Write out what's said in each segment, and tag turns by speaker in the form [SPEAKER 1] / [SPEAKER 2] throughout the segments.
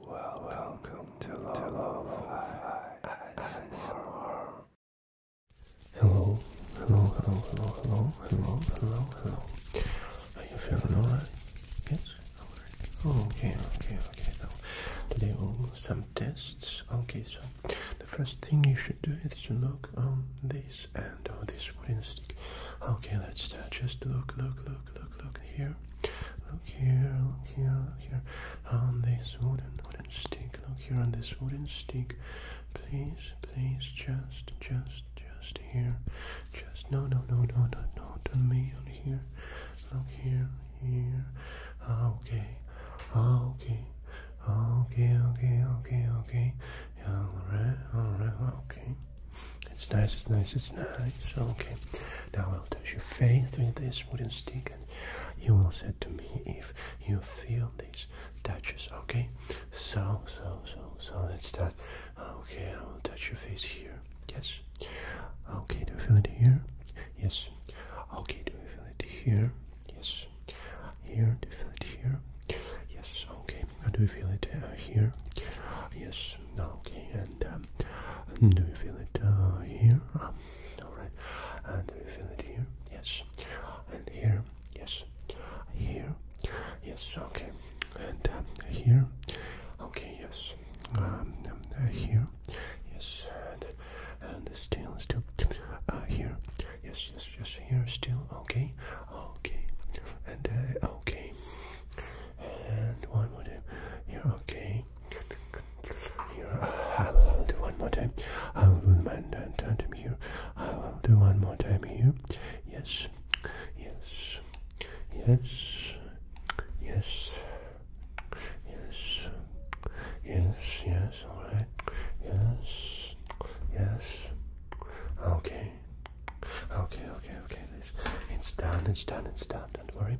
[SPEAKER 1] Well, welcome to Lolo Hello, hello, hello, hello, hello, hello, hello, hello. Are you feeling alright? Yes? Alright. Oh, okay, okay, okay. Now, today we'll do some tests. Okay, so the first thing you should do is to look on this and on this wooden stick. Okay, let's start. Just look, look, look look, look, look here. Look here, look here, look here. On this wooden, wooden stick. Look here on this wooden stick. Please, please, just, just, just here. Just, no, no, no, no, no, no, to me on here. Look here, here. Okay, okay, okay, okay, okay, okay. Yeah, alright, alright, okay. It's nice, it's nice, it's nice. Okay, now I'll touch your face with this wooden stick and you will say to me if you feel these touches, okay? So, so, so, so let's start. Okay, I will touch your face here. Yes. Okay, do you feel it here? Yes. Okay, do you feel it here? Yes. Here, do you feel it here? Yes, okay. Do you feel it uh, here? Yes. Okay, um, do you feel it uh, here? Ah, all right. do you feel it here? Yes. And here? Yes. Here? Yes. Okay. And um, here? Okay. Yes. Um, uh, here? Yes. And, and still, still. Uh, here? Yes. Yes. Yes. Here. Still. Okay. Okay. And okay and one more time here okay here I will do one more time I will do one time here I will do one more time here yes yes yes yes yes yes yes all right yes yes okay okay okay okay this it's done it's done it's done don't worry.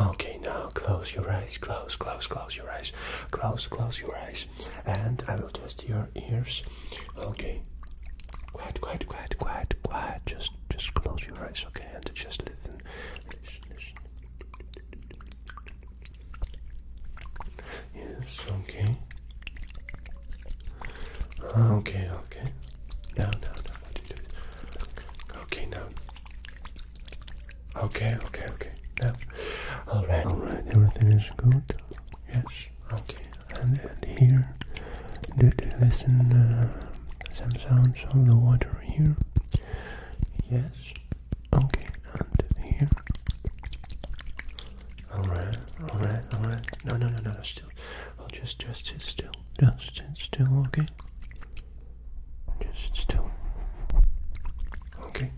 [SPEAKER 1] Okay, now close your eyes, close, close, close your eyes, close, close your eyes, and I will test your ears. Okay, quiet, quiet, quiet, quiet, quiet. Just, just close your eyes, okay, and just listen, Yes, okay. Okay, okay. Now, now, Okay, now. Okay, okay, okay. Now. Alright, alright, everything is good. Yes, okay. And, and here, did listen uh, some sounds of the water here? Yes. Okay, and here. Alright, alright, alright. No, no, no, no, still. I'll just just sit still. Just sit still, okay? Just sit still. Okay.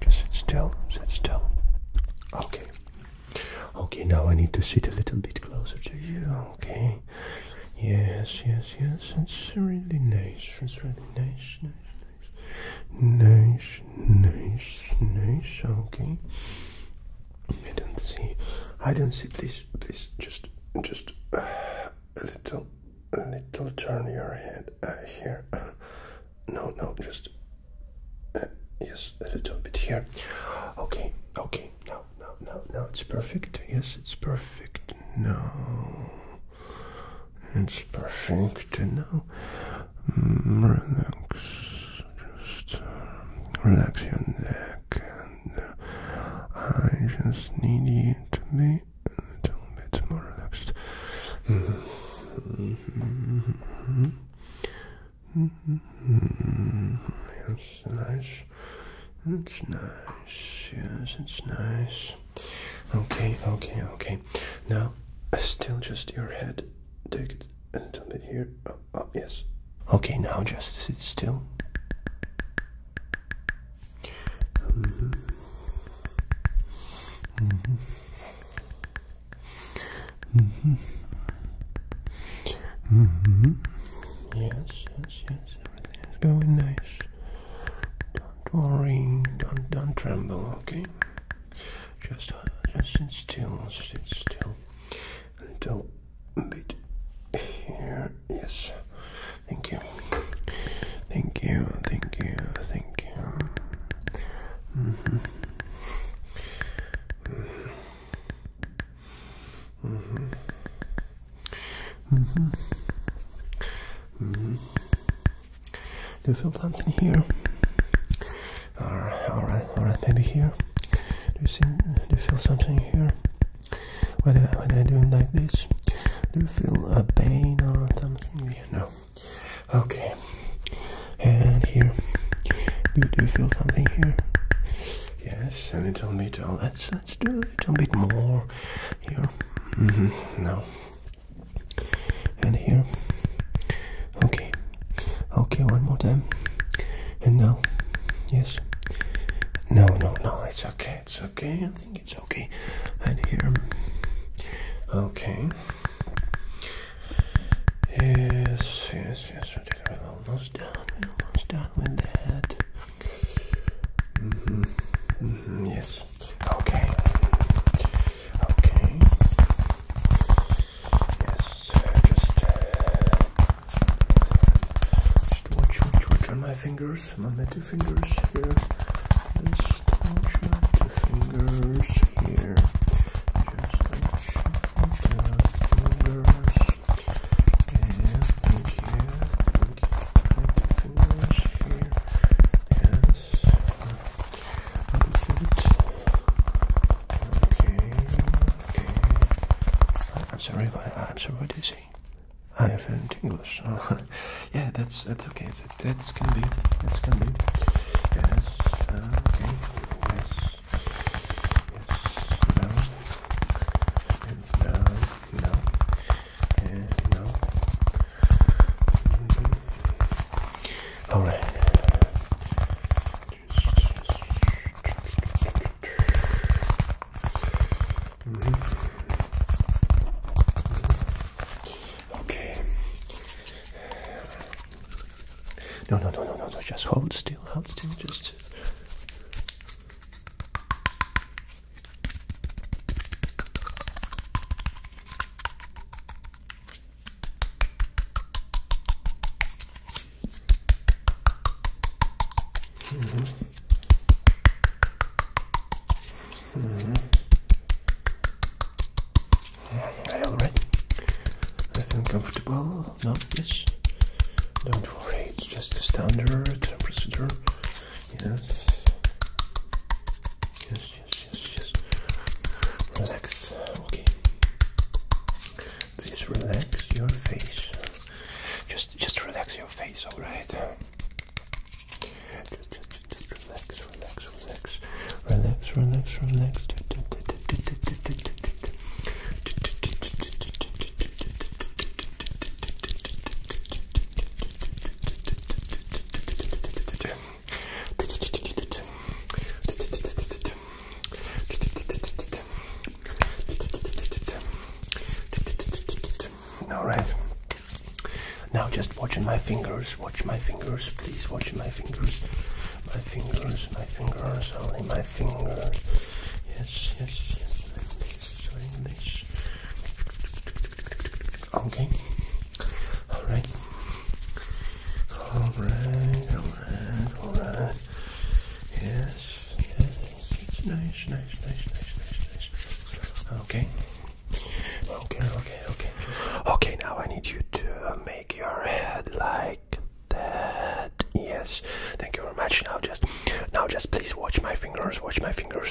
[SPEAKER 1] Just sit still. Sit still. Okay. Okay, now I need to sit a little bit closer to you. Okay. Yes, yes, yes. It's really nice. It's really nice, nice, nice. Nice, nice, nice. Okay. I don't see. I don't see. Please, please, just, just uh, a little, a little turn your head uh, here. no, no, just uh, a little bit here. Okay, okay. Now, now, now, now. It's perfect. Yes, it's perfect. Now it's perfect. No, mm, relax. Just uh, relax your neck and I just need you to be a little bit more relaxed. Yes, nice. It's nice. Yes, it's nice. Okay, okay, okay. Now, still just your head. Take it a little bit here. Oh, oh, yes. Okay, now just sit still. Mm -hmm. Mm -hmm. -hmm. -hmm. Yes, yes, yes. Everything is going nice. Don't worry. Don't, don't tremble. Okay. Just, uh, just sit still. Sit still until a bit here. Yes. Thank you. Thank you. Thank you. Thank you. Mm -hmm. Mm -hmm. Mm -hmm. Mm -hmm. Do mm-hmm. you feel something here? Alright, alright, alright, maybe here. Do you see? Uh, do you feel something here? What I, uh, when I do like this, do you feel a pain or something? No. Okay. And here, do, you feel something here? Yes, a little bit. Oh, let's let's do a little bit more here. Mm Now. And here. Okay. Okay, one more time. And now, yes. No, no, no, it's okay, it's okay. I think it's okay. And here. Okay. Yes, yes, yes. We're almost done. We're almost done with that. Mm -hmm. -hmm. Yes. Okay. Okay. Uh, uh, uh, just watch, watch, watch on my fingers, my middle fingers here. Just watch my fingers here. Just watch my fingers. Yes, thank you. here. Yes. i Okay, okay. I'm sorry, but I'm so what is he? I am feeling English. yeah, that's okay. That's gonna be. That's gonna be. Yes. okay. Yes. Yes. No. And no. No. Okay. No, no, no, no, no, no. Just hold still. Hold still. Just. Mm-hmm. Mm-hmm. All right. I feel comfortable. No, yes. Don't worry. It's just a standard procedure. Yes. Yes. Yes. Yes. Yes. Relax. Okay. Please relax your face. Just, just relax your face, all right? Just, just, just relax, relax, relax, relax, relax, relax. All right. Now just watching my fingers. Watch my fingers, please. Watch my fingers. My fingers. My fingers. Only my fingers. Yes. Yes. Yes. Like this. Okay. All right. All right. All right. All right. Yes, yes, it's nice, nice, nice, nice, nice, nice. Okay. Okay, okay, okay. Okay, now I need you to make your head like that. Yes. Thank you very much. Now just now just please watch my fingers, watch my fingers.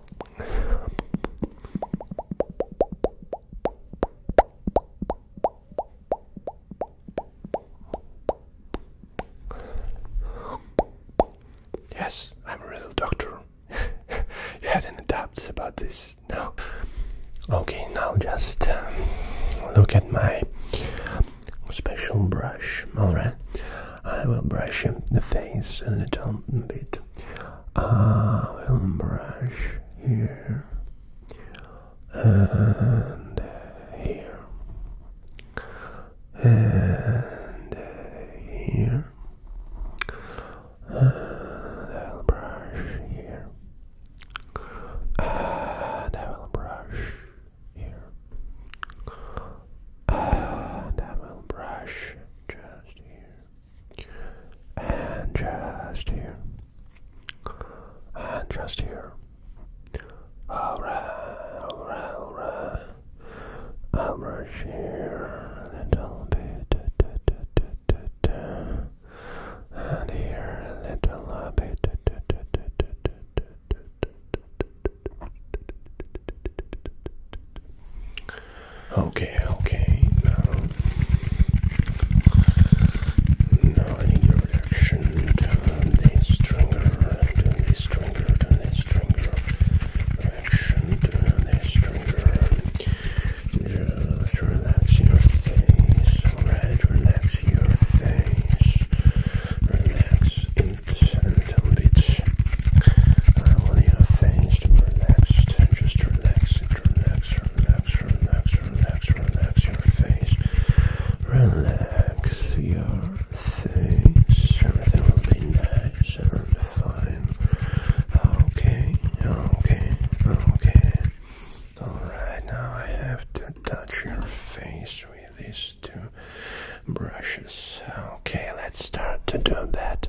[SPEAKER 1] Yes, I'm a real doctor. you had any doubts about this? No. Okay, now just um, look at my special brush. Alright, I will brush the face a little bit uh, film brush here and here and here and I will brush here and I will brush here and I will brush just here and just here, and just here. I'm right here, a little bit, and here a little bit. Okay, okay, now. Now I need your reaction. Turn this trigger, turn this trigger, turn this trigger. Reaction, turn this trigger. Just relax your face. Alright, relax your face. Relax it a little bit. I want your face to relax, just relax relax, relax, relax, relax, relax your face. Relax your face. Everything will be nice and fine. Okay, okay, okay. Alright, now I have to touch your face with these two brushes. Okay, let's start to do that.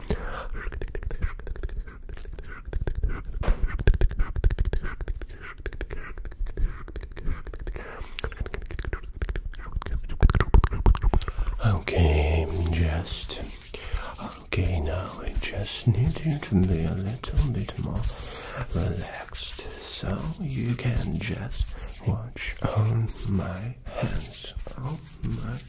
[SPEAKER 1] Okay, just okay. Now I just need you to be a little bit more relaxed, so you can just watch on my hands. On my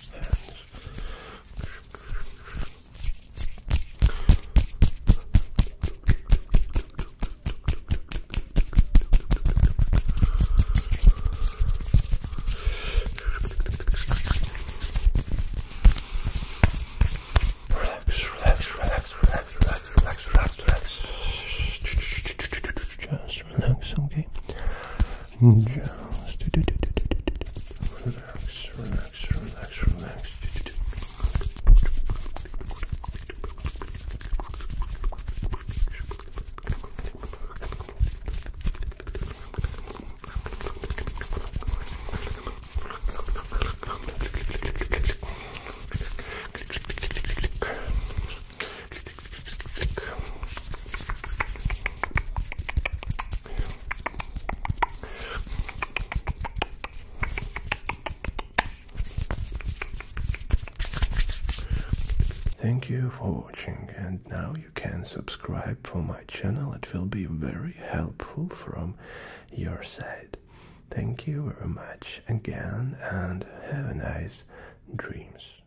[SPEAKER 1] Relax, relax, relax, relax, relax, relax, relax, relax. Just relax, okay? And just do, do, do, do, do, do, do. relax, relax, relax, relax. Do, do, do. Thank you for watching and now you can subscribe for my channel. It will be very helpful from your side. Thank you very much again and have a nice dreams.